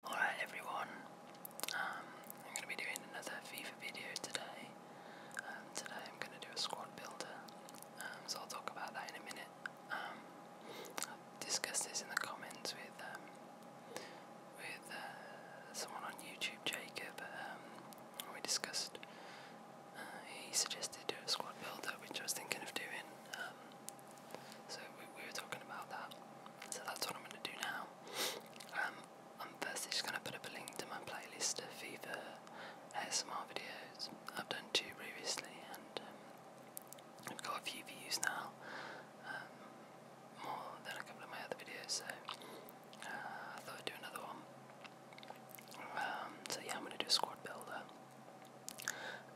Alright everyone, um, I'm going to be doing another FIFA video today. Um, today I'm going to do a squad builder, um, so I'll talk about that in a minute. I've discussed this in the comments with with uh, someone on YouTube, Jacob. we discussed, uh, he suggested do a squad builder, which I was thinking of doing. so we were talking about that so that's what I'm going to do now. Um, I'm firstly just going to put up a link to my playlist of FIFA ASMR videos. I've done two previously, and um, I've got a few views now, um, more than a couple of my other videos, so uh, I thought I'd do another one. so yeah, I'm going to do a squad builder.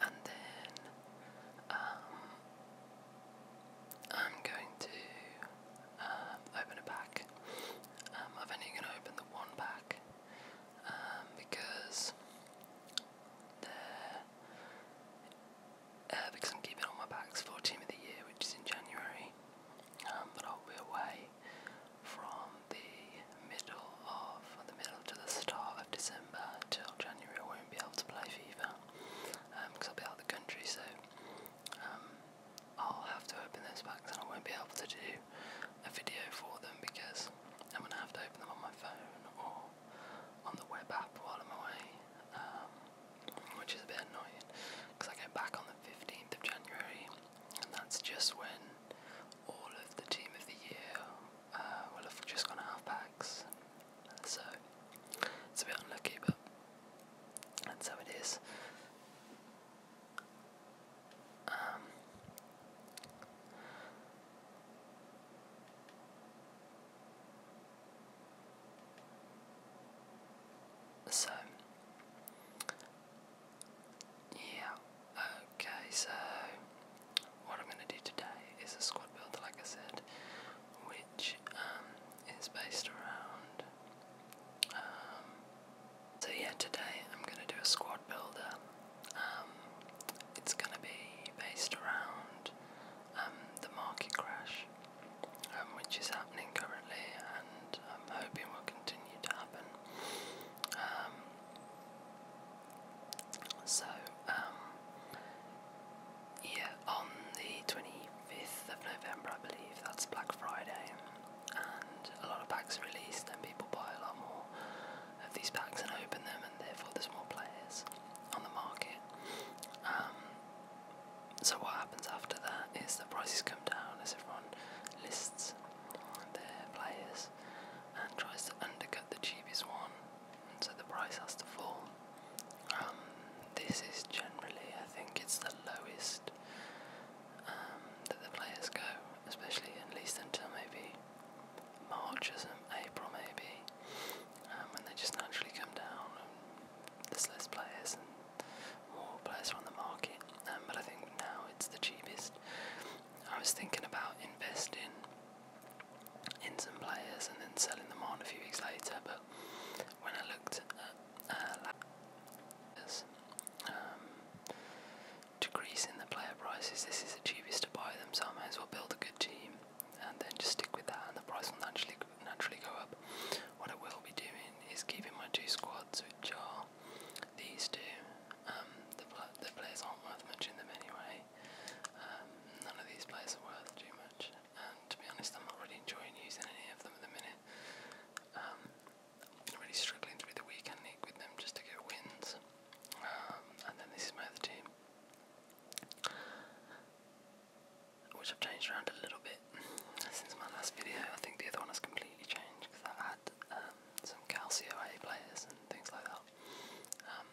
And then, I'm going to uh, open a pack. Um, I'm only going to open the one pack um, because there. Uh, because I'm keeping all my packs for Team of the Year, which is in January. Um, but I'll be away from the middle of the middle to the start of December till January. I won't be able to play FIFA because um, I'll be out of the country, so um, I'll have to open those packs and I won't be able to do a video for them because I'm going to have to open them on my phone or on the web app while I'm away, um, which is a bit annoying because I go back on the 15th of January and that's just when all of the team of the year uh, will have just gone out of packs so it's a bit unlucky, but that's how it is. Um, so, yeah, okay, so what I'm going to do today is a squad builder, like I said, which um, is based around. Um, so, yeah, today I'm going to do a squad builder. Um, it's going to be based around the market crash, which is happening currently, and I'm hoping will continue to happen. so, yeah, on the 25th of November, I believe, that's Black Friday, and a lot of packs are released, and people buy a lot more of these packs and open them, and therefore there's more players on the market. Um, so, what happens after that is the prices come down as everyone lists their players and tries to undercut the cheapest one so the price has to fall. Um, this is generally, I think, it's the lowest um, that the players go, especially at least until maybe March or some April, maybe, um, when they just naturally come down. And there's less players and more players are on the market, um, but I think now it's the cheapest. I was thinking about investing in some players and then selling them on a few weeks later. But when I looked at uh, um, decreasing the player prices, this is the cheapest to buy them, so I may as well build a good team and then just stick with that, and the price will naturally naturally go up. What I will be doing is keeping my two squads, which are these two. Um, the, pl the players aren't worth much in them anyway, play. Um, none of these players are worth too much, and to be honest, I'm not really enjoying using any of them at the minute. Um, I'm really struggling through the weekend league with them just to get wins. Um, and then this is my other team, which I've changed around a little bit since my last video. I think the other one has completely changed because I had um, some Calcio A players and things like that well. Um,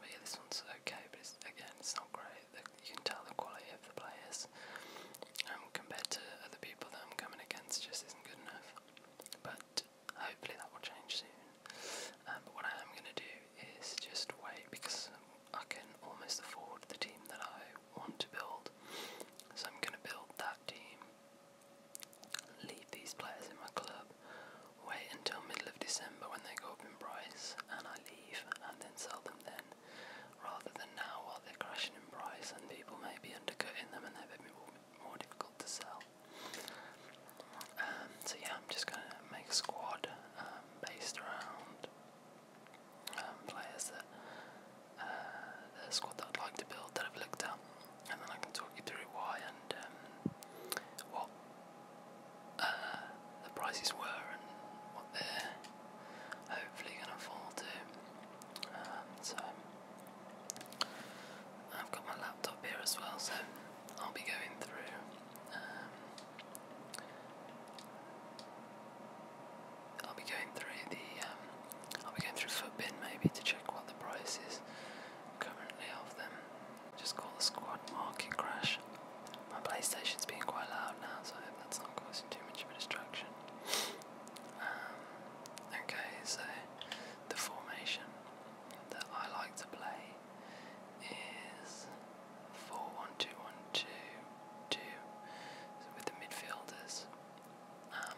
but yeah, this one's okay, but it's, again, it's not great. The, you can tell the quality of the players um, compared to other people that I'm coming against just isn't good enough. But hopefully that will change soon. Um, but what I am going to do is just wait because I can almost afford the team that I want to build. So I'm going to build that team, leave these players in my club wait until middle of December when they go up in price and I leave and then sell them then rather than now while they're crashing in price and people may be undercutting them and they're a bit more, more difficult to sell. Um, so yeah, I'm just going to make a squad um, based around um, players that uh, the squad that I'd like to build that I've looked at and then I can talk you through why and um, what uh, the prices were and what they're hopefully going to fall to. Um, so I've got my laptop here as well, so I'll be going through. Um, I'll be going through the. Um, I'll be going through Footbin maybe to check what the price is currently of them. Just call the squad market crash. My PlayStation's being quite loud now, so I hope that's not causing too much of a distraction. Um, okay, so the formation that I like to play is 4 with the midfielders. Um,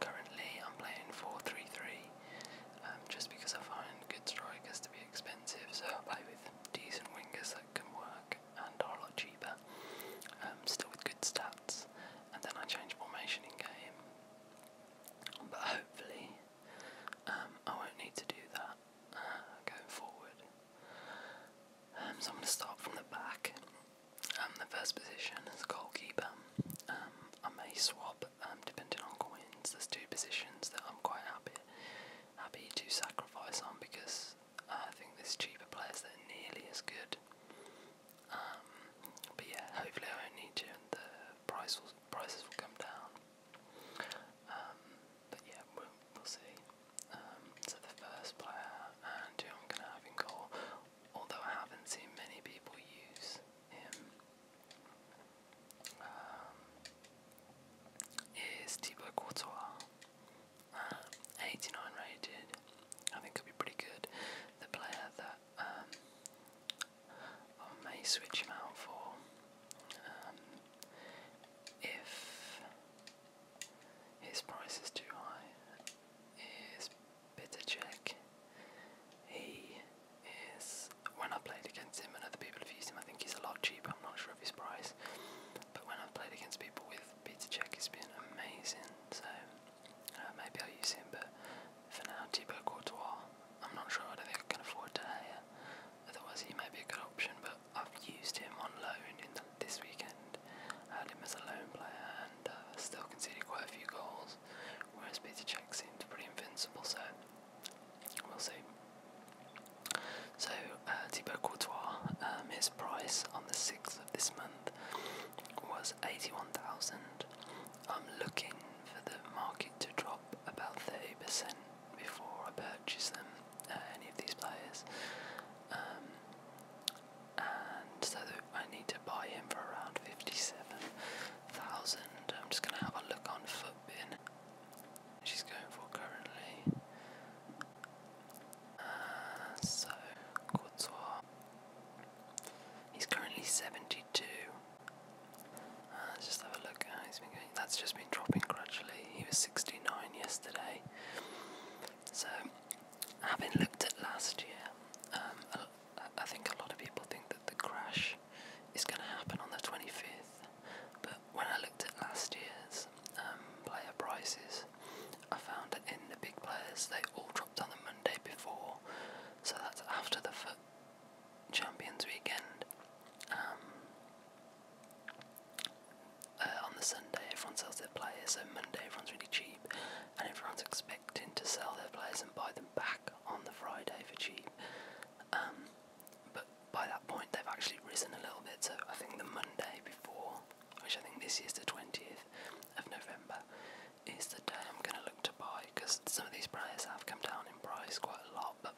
currently, I'm playing four three three. Um, just because I find good strikers to be expensive, so I play with decent wingers that can work and are a lot cheaper, um, still with good stats, and then I change formation in game. But hopefully, um, I won't need to do that uh, going forward. so I'm going to start from the back. Um, the first position is goalkeeper. Um, I may swap um, depending on coins, there's two positions that I'm quite happy happy to sacrifice on because I think there's cheaper players that are nearly as good. Um, but yeah, hopefully I won't need to, and the price prices will come down. Um, but yeah, we'll, we'll see. Um, so the first player who I'm going to have in goal, although I haven't seen many people use him um, um, is Thibaut Courtois. Uh, 89 rated. I think could be pretty good. The player that um, I may switch him out for um, if his price is too high is Bittercheck. He is when i played against him and other people have used him, I think he's a lot cheaper. I'm not sure of his price, but when I've played against people with Peter Check, he has been amazing. So uh, maybe I'll use him, but for now, Thibaut Courtois, I'm not sure. I think I can afford to hire. Otherwise, he might be a good option, but I've used him on loan in this weekend. I had him as a loan player and uh, still conceded quite a few goals, whereas Peter Check seemed pretty invincible. So we'll see. So uh, Thibaut Courtois, um, his price on the sixth of this month was eighty-one thousand. I'm looking for the market to drop about thirty percent before I purchase them. Uh, any of these players, um, and so I need to buy him for around fifty-seven thousand. I'm just going to have a look on foot She's going for currently. Uh, so, Courtois. He's currently 72. Uh, let's just have a look That's just been dropping gradually. He was 69 yesterday. So, having looked at last year, um, I think a lot of people think that the crash it's going to happen on the 25th. But when I looked at last year's um, player prices, I found that in the big players they all dropped on the Monday before, so that's after the Champions Weekend. Um, uh, on the Sunday, everyone sells their players, so Monday everyone's really cheap, and everyone's expecting to sell their players and buy them back on the Friday for cheap. Um, but by that point, they've actually risen a little bit. So I think the Monday before, which I think this year's the 20th of November, is the day I'm going to look to buy because some of these prices have come down in price quite a lot, but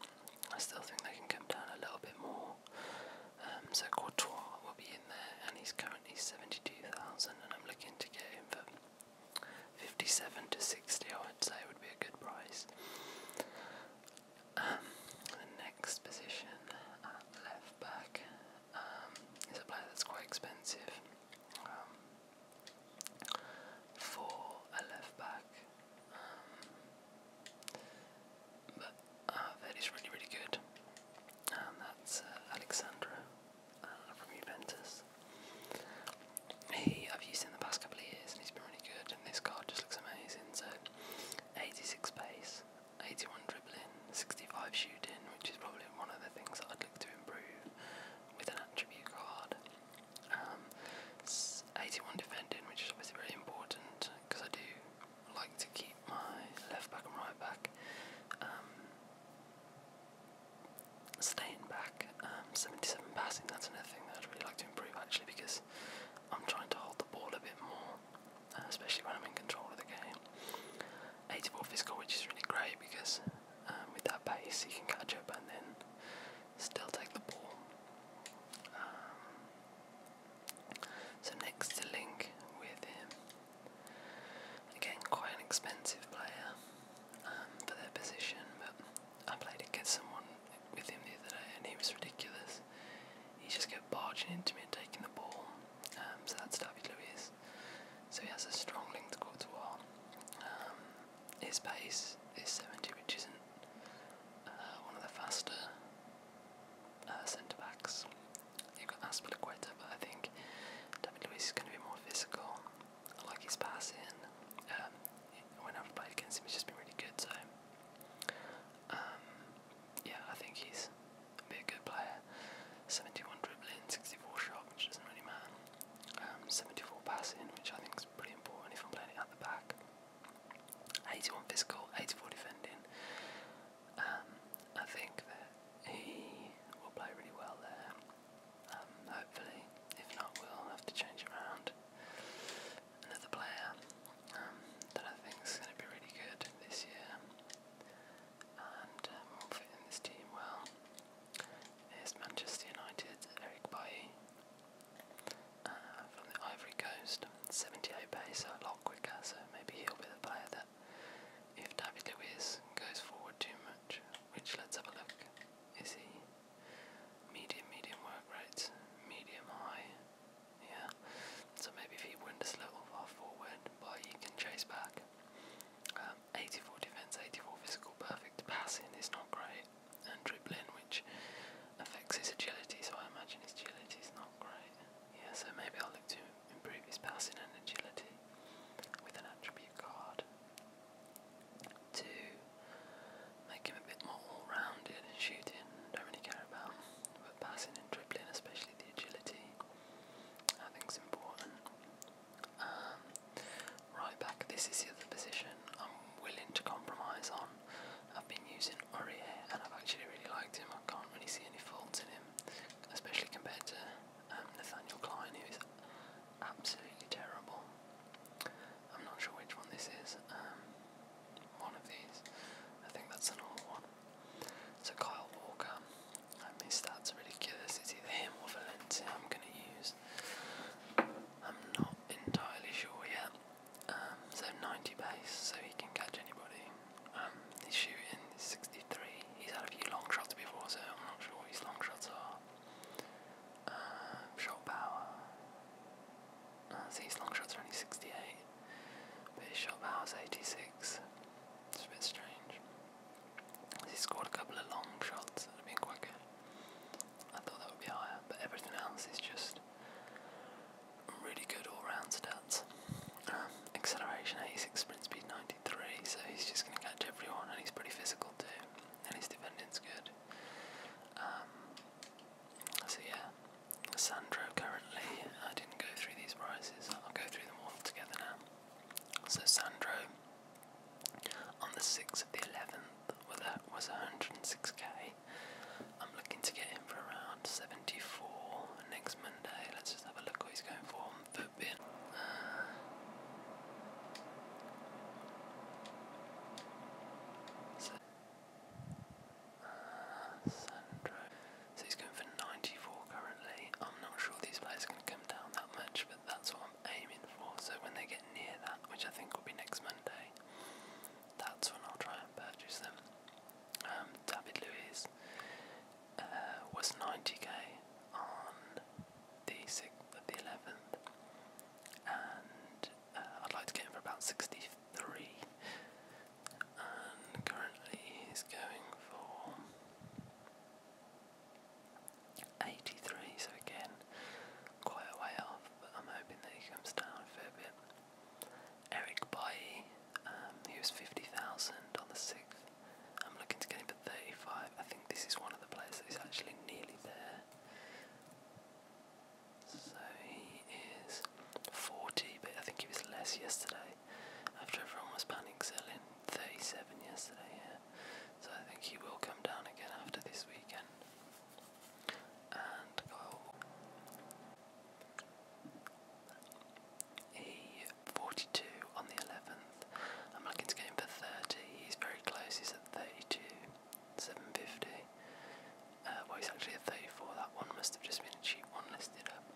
I still think they can come down a little bit more. Um, so Courtois will be in there, and he's currently 72,000, and I'm looking to get him for 57 to 60, I would say, would be a good price. Um, the next position at uh, left back um, is a player that's quite expensive. Um, for a left back, but uh, really, really good. And that's uh, uh from Juventus. He I've used in the past couple of years and he's been really good and this card just looks amazing. So 86 pace, 81 dribbling, 65 shooting, which is probably one of the things that I'd like to improve with an attribute card. Um, 81 defending, which is obviously very important because I do like to keep my left back and right back um, staying back, um, 77 passing, that's another thing that I'd really like to improve actually because I'm trying to hold the ball a bit more, uh, especially when I'm in control of the game. 84 physical, which is really great because um, with that pace you can catch up and then still take the ball. Um, so next to Link with him, again quite an expensive player for their position, but I played against someone with him the other day, and he was ridiculous. He just kept barging into me and taking the ball. Um, so that's David Luiz. So he has a strong link to Courtois. Um, his pace is 70, which isn't uh, one of the faster uh, centre backs. You've got Aspilicueta, but I think David Luiz is going to be more physical like his passing. Um, when I've played against him, he's just been really good. So, um, yeah, I think he's a good player. 71 dribbling, 64 shot, which doesn't really matter. Um, 74 passing, which I think is pretty important if I'm playing it at the back. 81 physical, 84 defending. Um, I think that he will play really well there. Um, hopefully, if not, we'll have to change around another player um, that I think is going to be really good this year and uh, will fit in this team well. Is Manchester United Eric Bae uh, from the Ivory Coast, 78 pace, so a lot quicker, so maybe he'll be the player that if David Luiz goes forward too much, which let's have a look, is he? medium, medium work rate, medium high. Yeah. So maybe if he winders a little far forward, but he can chase back. Um, 84 defense, 84 physical, perfect passing is not great, and dribbling, which affects his agility. So I imagine his agility is not great. Yeah. So maybe I'll look to improve his passing and agility with an attribute card to make him a bit more all rounded. Shooting, don't really care about, but passing and dribbling, especially the agility, I think is important. Um, right back, this is the other position I'm willing to compromise on. I've been using Aurier and I've actually really liked him. I can't really see any faults in him, especially compared to um, Nathaniel Klein, who is absolutely terrible. I'm not sure which one this is. Um, one of these. I think that's an one. So Kyle Walker. I mean, stats ridiculous. It's either him or Valencia I'm going to use. I'm not entirely sure yet. Um, so 90 base, so he can catch anybody. Um, he's shooting 63. He's had a few long shots before, so I'm not sure what his long shots are. Uh, shot power. see, uh, his long shots only 68, but his shot power 86. It's a bit strange. He scored a couple of long shots that have been quicker. I thought that would be higher, but everything else is just really good all-round stats. Uh, acceleration 86, sprint speed 93, so he's just going to catch everyone, and he's pretty physical too and his defending's good. Um, so yeah, Sandro currently, I didn't go through these prices, I'll go through them all together now. So Sandro, on the 6th of the 11th, well, that was 106k. I'm looking to get him for around 74 next Monday. Let's just have a look what he's going for so, he's going for 94 currently. I'm not sure these players can come down that much, but that's what I'm aiming for. So when they get near that, which I think will be next Monday, that's when I'll try and purchase them. Um, David Luiz uh, was 90k on the sixth of the eleventh, and uh, I'd like to get him for about sixty-three. And currently he's going for eighty-three. So again, quite a way off, but I'm hoping that he comes down a fair bit. Eric Bailly, um, he was fifty thousand on the sixth. I'm looking to get him 35. I think this is one of the players that is actually nearly there. So he is 40, but I think he was less yesterday. After everyone was panicking, selling, 37 yesterday, yeah. So I think he will come down again after this weekend. And Kyle. He 42 on the 11th. I'm looking to go him for 30. He's very close. He's at 32, 750. Uh, well, he's actually at 34. That one must have just been a cheap one listed up.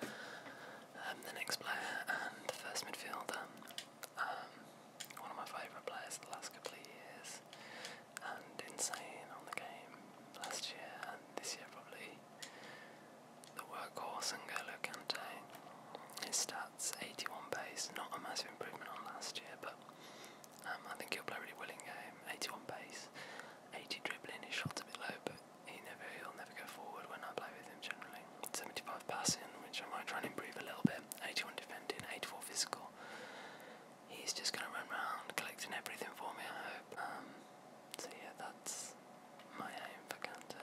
Um, the next player and the first midfielder, um, one of my favourite players of the last couple of years, and insane on the game last year and this year probably the workhorse and N'Golo uh, his stats 81 base, not a massive improvement on last year, but um, I think he'll play a really willing game. 81 base, 80 dribbling, his shot's a bit low, but he never, he'll never go forward when I play with him generally. 75 passing, which I might try and improve a little bit, 81 defending, 84 physical. He's just going to run around collecting everything for me, I hope. Um, so, yeah, that's my aim for Kante.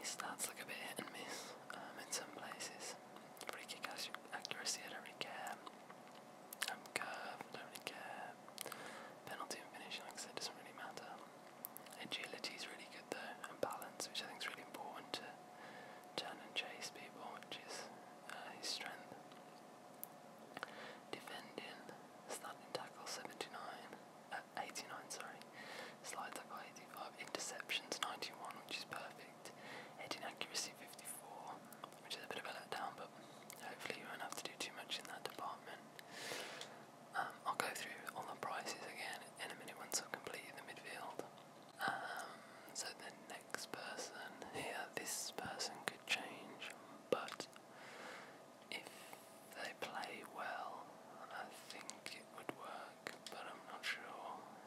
His stats look a bit hit and miss um, in some places. Free kick accuracy, I don't really care. Um, curve, I don't really care. Penalty and finish, like I said, doesn't really matter. Agility is really good though, and balance, which I think is really important to turn and chase people, which is uh, his strength. Defending, starting tackle 79. 89, sorry. Slides up by 85. Interceptions 91, which is perfect. Heading accuracy 54, which is a bit of a letdown, but hopefully you won't have to do too much in that department. Um, I'll go through all the prices again in a minute once I've completed the midfield. Um, so the next person here, this person could change, but if they play well, I think it would work, but I'm not sure.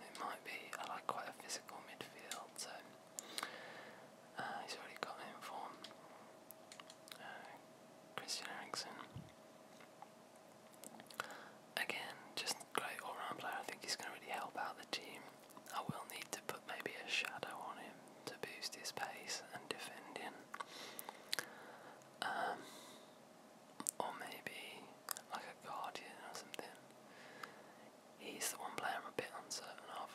It might be. I like quite a physical midfield, so uh, he's already got in form. Uh, Christian Eriksen. Again, just great all round player. I think he's going to really help out the team. I will need to put maybe a shadow on him to boost his pace and defend him. Um, or maybe like a guardian or something. He's the one player I'm a bit uncertain of.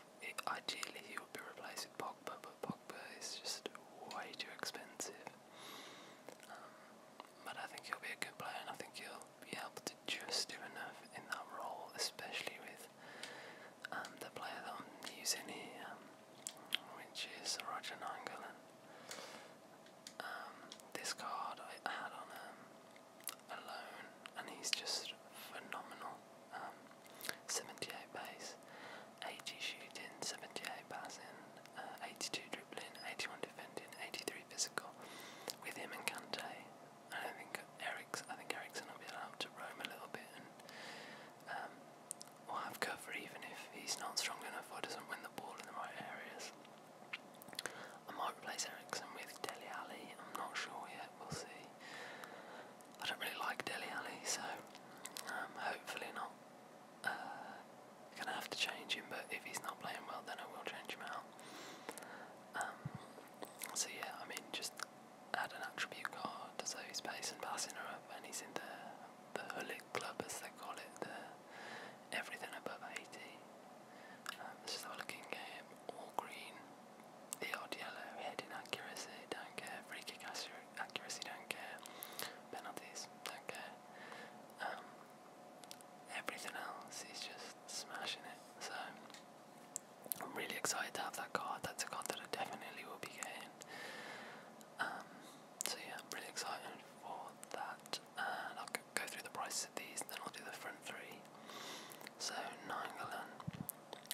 ideally, he would be replaced with Pogba, but Pogba is just way too expensive. Um, but I think he'll be a good player, and I think he'll be able to just do enough in that role, especially with um, the player that I'm using here which is Roger Nangolan. Um, this card I had on him a and he's just phenomenal. Um, 78 base, 80 shooting, 78 passing, uh, 82 dribbling, 81 defending, 83 physical. With him and Kante, I think Eric's. I think Ericsson will be allowed to roam a little bit and um, will have cover even if he's not strong enough or doesn't win the ball in the right areas. I might replace Ericsson with Deli Ali. I'm not sure yet, we'll see. I don't really like Deli Ali, so um, hopefully not. Uh, gonna have to change him, but if he's not playing well, then I will change him out. Um, so yeah, I mean, just add an attribute card, so his pace and passing are up, and he's in the the Hullet Club as they call it, the everything above 80. Um, this is a looking game, all green, the odd yellow, head inaccuracy, don't care, free kick accuracy, don't care, penalties, don't care. Um, everything else is just smashing it. So I'm really excited to have that card. That's a card that I definitely will be getting. Um, so yeah, I'm really excited for that, and I'll go through the prices of these, and then I'll do the front three. So Nangalan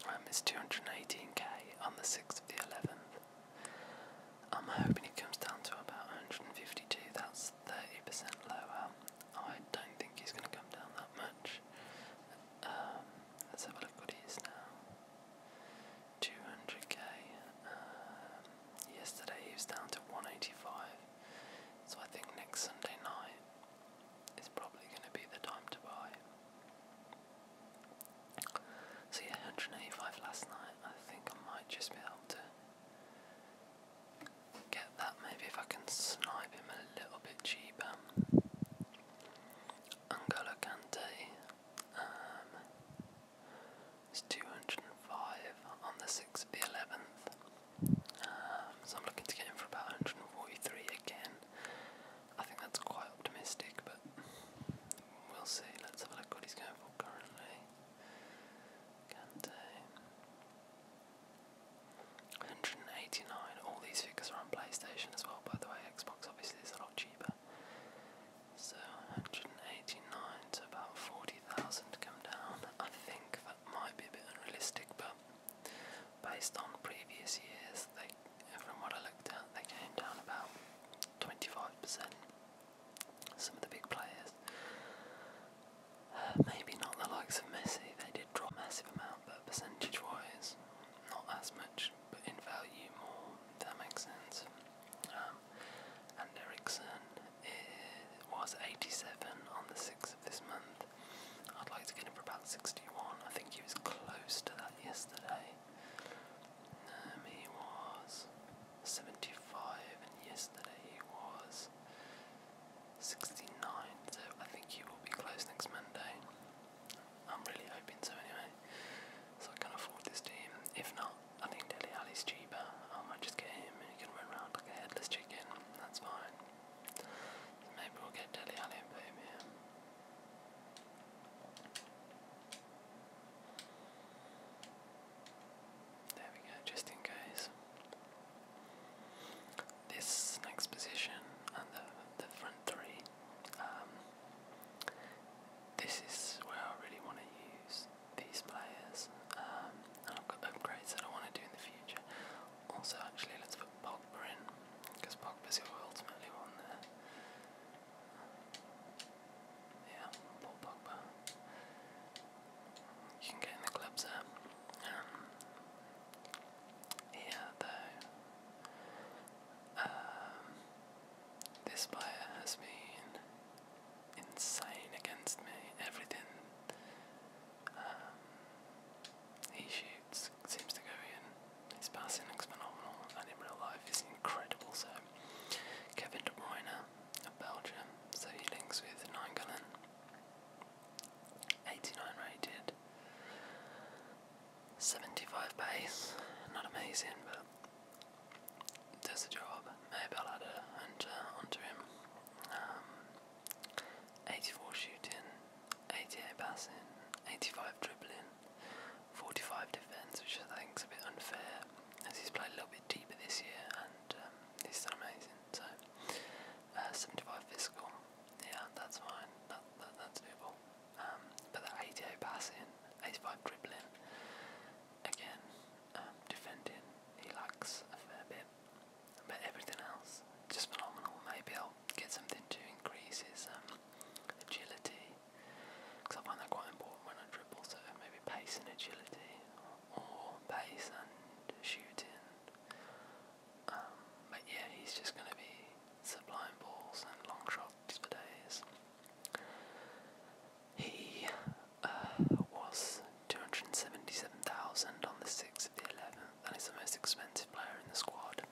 um, 218k on the 6th of the 11th. I'm hoping it comes down to about 152. That's 30% lower. I don't think he's going to come down that much. Um, let's have a look what he is now. 200k. Um, yesterday he was down to 185, so I think next Sunday night is probably going to be the time to buy. So yeah, 185 last night. I think I might just be able to get that. Maybe if I can snipe him a little bit cheaper. N'Golo um, it's 205 on the 6th of the 11th. Um, so I'm looking to get in for about 143 again. I think that's quite optimistic, but we'll see. Let's have a look at what he's going for currently. Kante. 189. All these figures are on PlayStation as well, by the way. Xbox obviously is a lot cheaper cheaper. So 189 to about 40,000 come down. I think that might be a bit unrealistic, but based on previous years, they, from what I looked at, they came down about 25%. Some of the big players. Uh, maybe not the likes of Messi, they did drop a massive amount, but percentage wise, not as much in value more, that makes sense. Um, and Ericsson was 87 on the 6th of this month. I'd like to get him for about 61. I think he was close to that yesterday. Um, he was 75, and yesterday he was 69. So I think he will be close next Monday. I'm really hoping so anyway. So I can afford this team. If not, I think Deli Ali's cheaper. I might just get him and he can run around like a headless chicken. That's fine. maybe we'll get Deli Ali and put him There we go, just in case. This next position and the, the front three um, this is where I really want to use these players, um, I've got upgrades that I want to do in the future. Also, actually, let's put Pogba in, because is who ultimately won there. Yeah, Paul Pogba. You can get in the clubs there. yeah, um, though. Um, this player has been insane against me. Everything um, he shoots seems to go in. His passing is phenomenal, and in real life is incredible. So Kevin De Bruyne of Belgium, so he links with Nine Gallon, 89 rated. 75 pace, not amazing, but does the job. Maybe i onto him. Um, 84 shooting, 88 passing, 85 dribbling, 45 defence, which I think is a bit unfair as he's played a little bit deeper this year and um, he's done amazing. So, uh, 75 physical, yeah, that's fine, that, that's doable. Um, but that 88 passing, 85 dribbling, again, um, defending, he lacks a fair bit. But everything else, just phenomenal. Maybe I'll get something to increase his um, agility, because I find that quite important when I dribble, so maybe pace and agility, or pace and shooting. Um, but yeah, he's just going to be sublime balls and long shots for days. He uh, was 277,000 on the 6th of the 11th and is the most expensive player in the squad.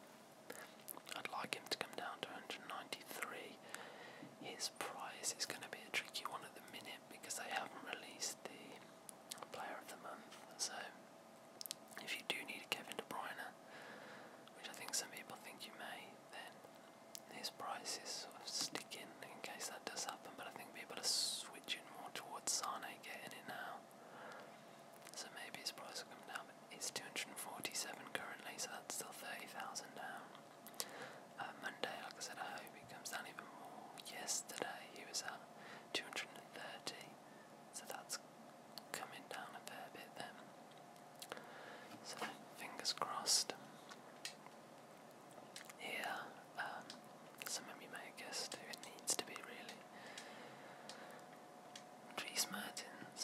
I'd like him to come down to 193. His price is going to be a tricky one at the minute because they haven't released the player of the month, so if you do need a Kevin De Bruyne, which I think some people think you may, then his price is sort of sticking in case that does happen. But I think people are switching more towards Sane getting it now. So maybe his price will come down. But it's 247 currently, so that's still 30,000 down. Uh, Monday, like I said, I hope it comes down even more. Yesterday he was at 230. So that's coming down a fair bit then. So fingers crossed. Here, um, you may have who it needs to be really. Dries Mertens.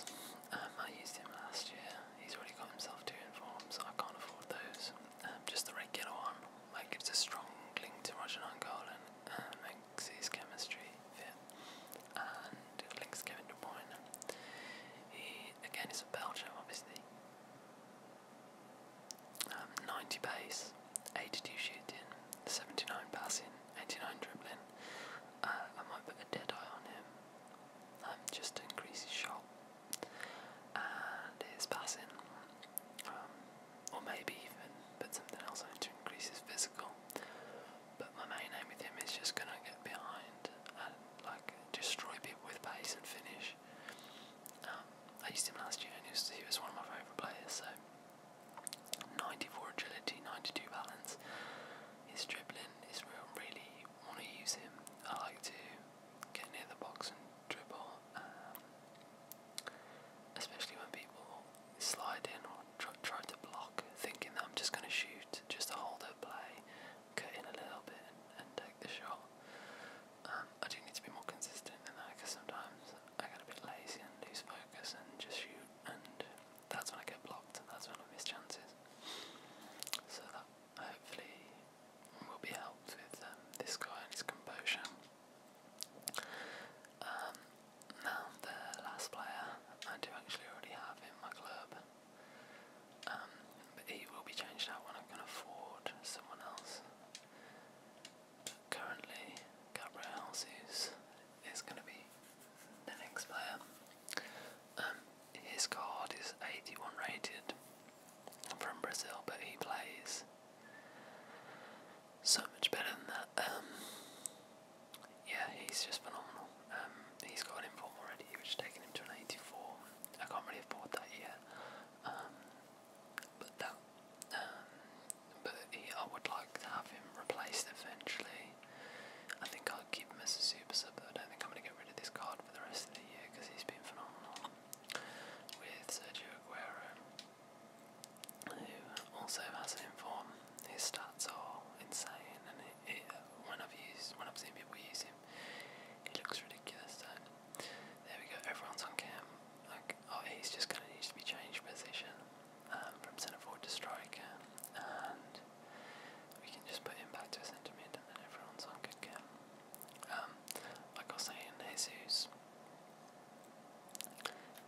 Um, I used him last year. He's already got himself two informs, I can't afford those. Um, just the regular one. That gives a strong link to Roger Nangolan um, and, Links's chemistry fit and links Kevin De Bruyne. He again is a Belgian obviously. Um, 90 pace, 82 shooting, 79 passing, 89 dribbling. Uh, I might put a dead eye on him um, just to increase his shot and his passing. Um, or maybe even put something else on to increase his physical. But my main aim with him is just going to get behind and like destroy people with pace and finish. Um, I used him last year and he was, one of my favourite players. So 94 agility, 92 balance. His dribbling is Really want to use him. I like to get near the box and dribble, um, especially when people slide in or try, to block, thinking that I'm just going to shoot, just to hold her play, cut in a little bit and, take the shot. Um, I do need to be more consistent in that because sometimes I get a bit lazy and lose focus and just shoot, and that's when I get blocked, and that's when I miss chances. So that hopefully will be helped with um, this guy and his composure. Um, now the last player, I do actually already have in my club, um, but he will be changed out when I can afford someone else. currently, Gabriel Jesus is going to be the next player. Um, his card is 81 rated from Brazil, but he plays so much better than that. Um, yeah, he's just phenomenal. Um, he's got an inform already, which has taken him to an 84. I can't really afford that yet. Um, but that, um, but he, I would like to have him replaced eventually. I think I'll keep him as a super sub, but I don't think I'm going to get rid of this card for the rest of the year because he's been phenomenal with Sergio Aguero who also has an inform? form. His stats are insane, and it, when I've used, when I've seen people use him, he looks ridiculous. So there we go. Everyone's on cam. Like, oh, he's just gonna need to be changed position um, from centre forward to striker, and we can just put him back to a centre mid, and then everyone's on good cam. Um, like I was saying, Jesus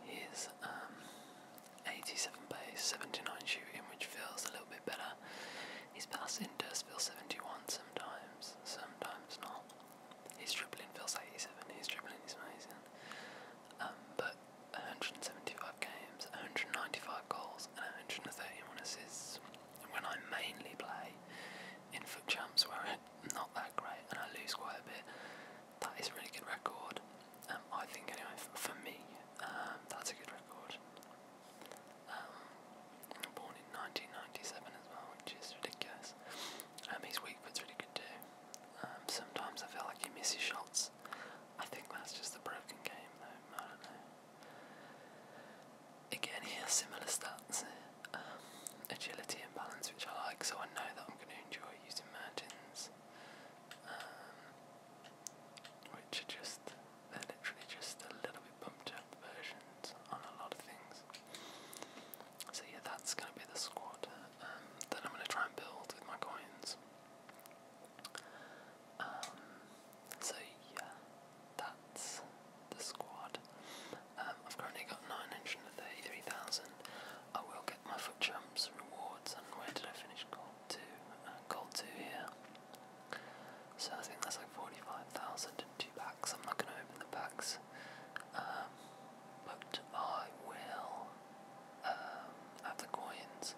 He's um, 87 base, 79 shooting, which feels a little bit better. His passing does feel 71 sometimes, sometimes not. His dribbling feels 87, his dribbling is amazing. Um, but 175 games, 195 goals, and 131 assists. When I mainly play in foot champs, where I'm not that great and I lose quite a bit, that is a really good record. Um, I think anyway, for me, um, that's a good record. Um, born in 1997 as well, which is ridiculous. Um, his Weakwood's really good too. sometimes I feel like he misses shots. I think that's just the broken game though, I don't know. Again, he has similar stats. Eh? agility and balance, which I like, so I know that I'm going to enjoy using Mertens. Um, which are just, they're literally just a little bit pumped up versions on a lot of things. So yeah, that's going to be the squad. Um, then I'm going to try and build with my coins. Um, so yeah, that's the squad. I've currently got 933,000. I will get my foot jumps rewards and where did I finish gold two? Uh, gold two here. So I think that's like forty-five thousand and two packs. I'm not gonna open the packs. Um, but I will um, have the coins.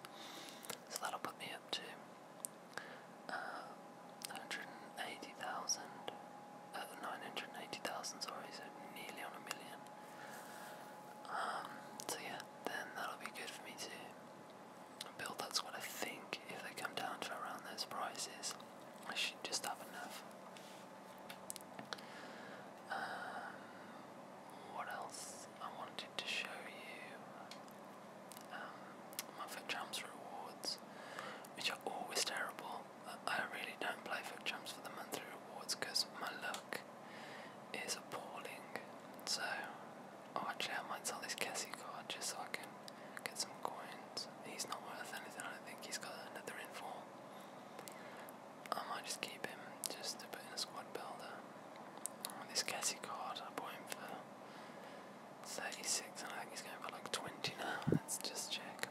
So that'll put me up to uh, 180,000, uh, 980,000, sorry, so nearly on a million. Um, so yeah, then that'll be good for me to build. That's what I think. If they come down to around those prices, I should just have enough. Um, what else I wanted to show you? Um, jumps rewards, which are always terrible. I really don't play for jumps for the monthly rewards because my luck is appalling. So, actually, I might sell this Cassie card just so I can get some coins. He's not worth anything, I think. He's got another inform. I might just keep him just to put in a squad builder. this Cassie card, I bought him for 36, I think he's going for like 20 now. Let's just check.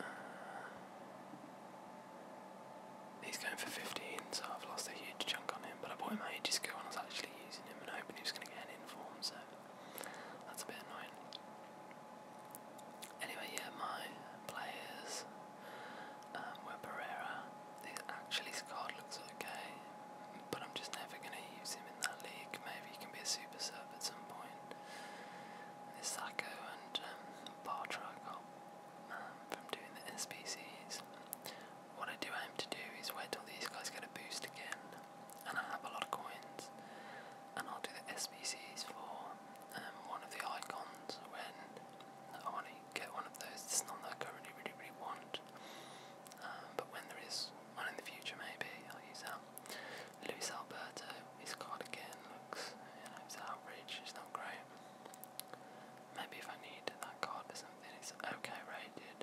Uh, He's going for 15, so I've lost a huge chunk on him, but I bought him ages ago when I was actually using him and hoping he was going to get an inform, so that's a bit annoying. Anyway, yeah, my players um, were Pereira. Actually, his card looks okay, but I'm just never going to use him in that league. Maybe he can be a super sub at some point this Sacco and um, bar try I got um, from doing the SPCs. What I do aim to do is wait till these guys get a boost again, and I have a lot of coins, and I'll do the SPCs for um, one of the icons when I want to get one of those. It's not that I currently really, really want, um, but when there is one in the future, maybe I'll use that. Luis Alberto, his card again looks, you know, it's average, it's not great. Maybe if I need that card for something, it's okay rated.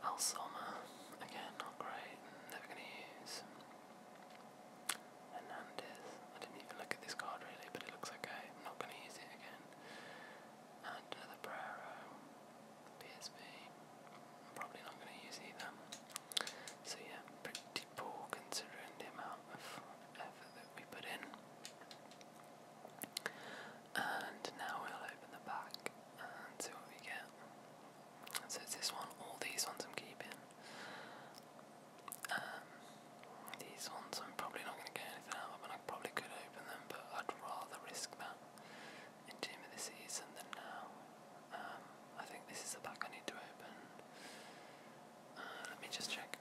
Al again, not great, never going to use. Hernandez, I didn't even look at this card really, but it looks okay, not going to use it again. And another uh, Brero, PSV probably not going to use either. So yeah, pretty poor considering the amount of effort that we put in. And now we'll open the back and see what we get. So it's this one, all these ones I'm keeping. Um, these ones I'm probably not going to get anything out of, and I probably could open them, but I'd rather risk that in of the Season than now. Um, I think this is the pack I need to open. Uh, let me just check.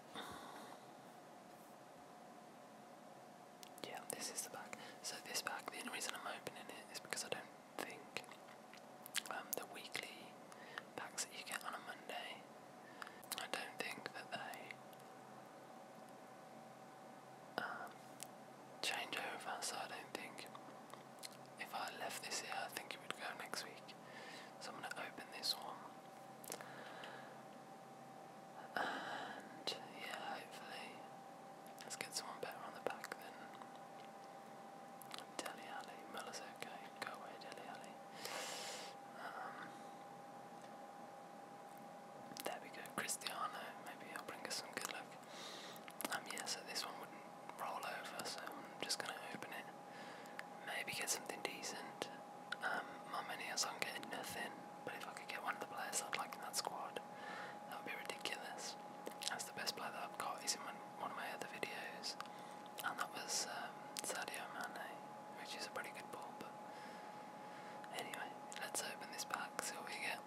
Yeah, this is the pack. So this pack, the only reason I'm opening it is because I don't think um, the weekly packs that you get on a Monday, I don't think that they um, change over, so I don't think if I left this here, I think it would go next week. So I'm going to open this one. And yeah, hopefully, let's get someone better on the back then. Deli Alley, Muller's okay, um, there we go, Cristiano, maybe he'll bring us some good luck. Um, yeah, so this one wouldn't roll over, so I'm just going to open it. Maybe get something decent. Um, my mini is on getting nothing, but if I could get one of the players I'd like in that squad, that would be ridiculous. That's the best player that I've got. is in one, of my other videos, and that was um, Sadio Mane, which is a pretty good ball. But anyway, let's open this pack, so we get.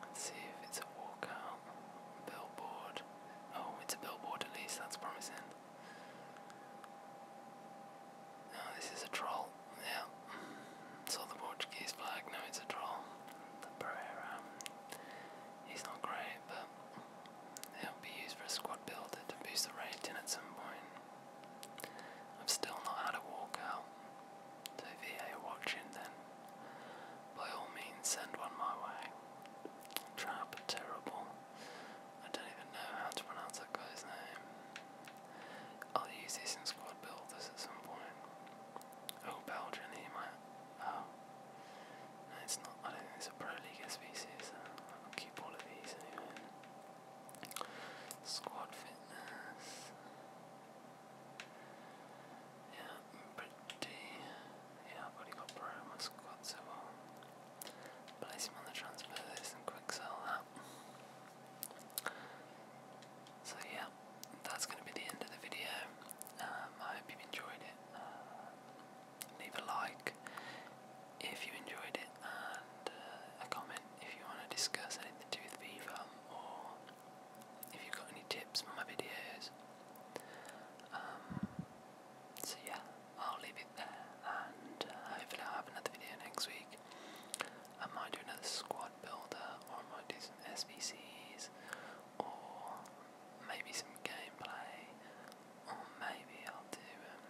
Let's see if it's a walkout. Billboard. Oh, it's a billboard at least, that's promising. No, oh, this is a troll. Yeah. Saw the Portuguese flag. No, it's a troll. The Pereira. He's not great, but it'll be used for a squad builder to boost the rating at some point. I've still not had a walkout. So if watching then, by all means send one my way. Trap Terrible. I don't even know how to pronounce that guy's name. I'll use this in squad builders at some point. Oh, Belgian, he Oh. it's not. I don't think it's a Pro League species. I'll keep all of these anyway. Squad fitness. Yeah, pretty. Yeah, I've got Brown in squad, so i um, place him on the transfer list and quick that. So, yeah, that's going to be the end of the video. Um, I hope you've enjoyed it. Uh, leave a like if you enjoyed it and uh, a comment if you want to discuss anything to do with or if you've got any tips for my videos. Um, so yeah, I'll leave it there, and uh, hopefully I'll have another video next week. I might do another squad builder, or I might do some SVCs, or maybe some gameplay, or maybe I'll do, um,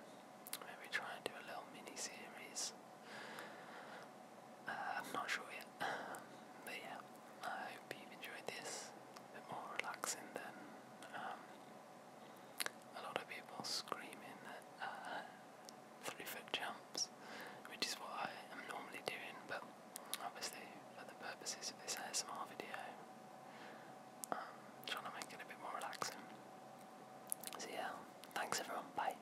maybe try and do a little mini series. I'm not sure yet. but yeah, I hope you've enjoyed this. bit more relaxing than um, a lot of people screaming at uh, three foot jumps, which is what I am normally doing, but obviously, for the purposes of this ASMR video, I'm um, trying to make it a bit more relaxing. So, yeah, thanks everyone, bye.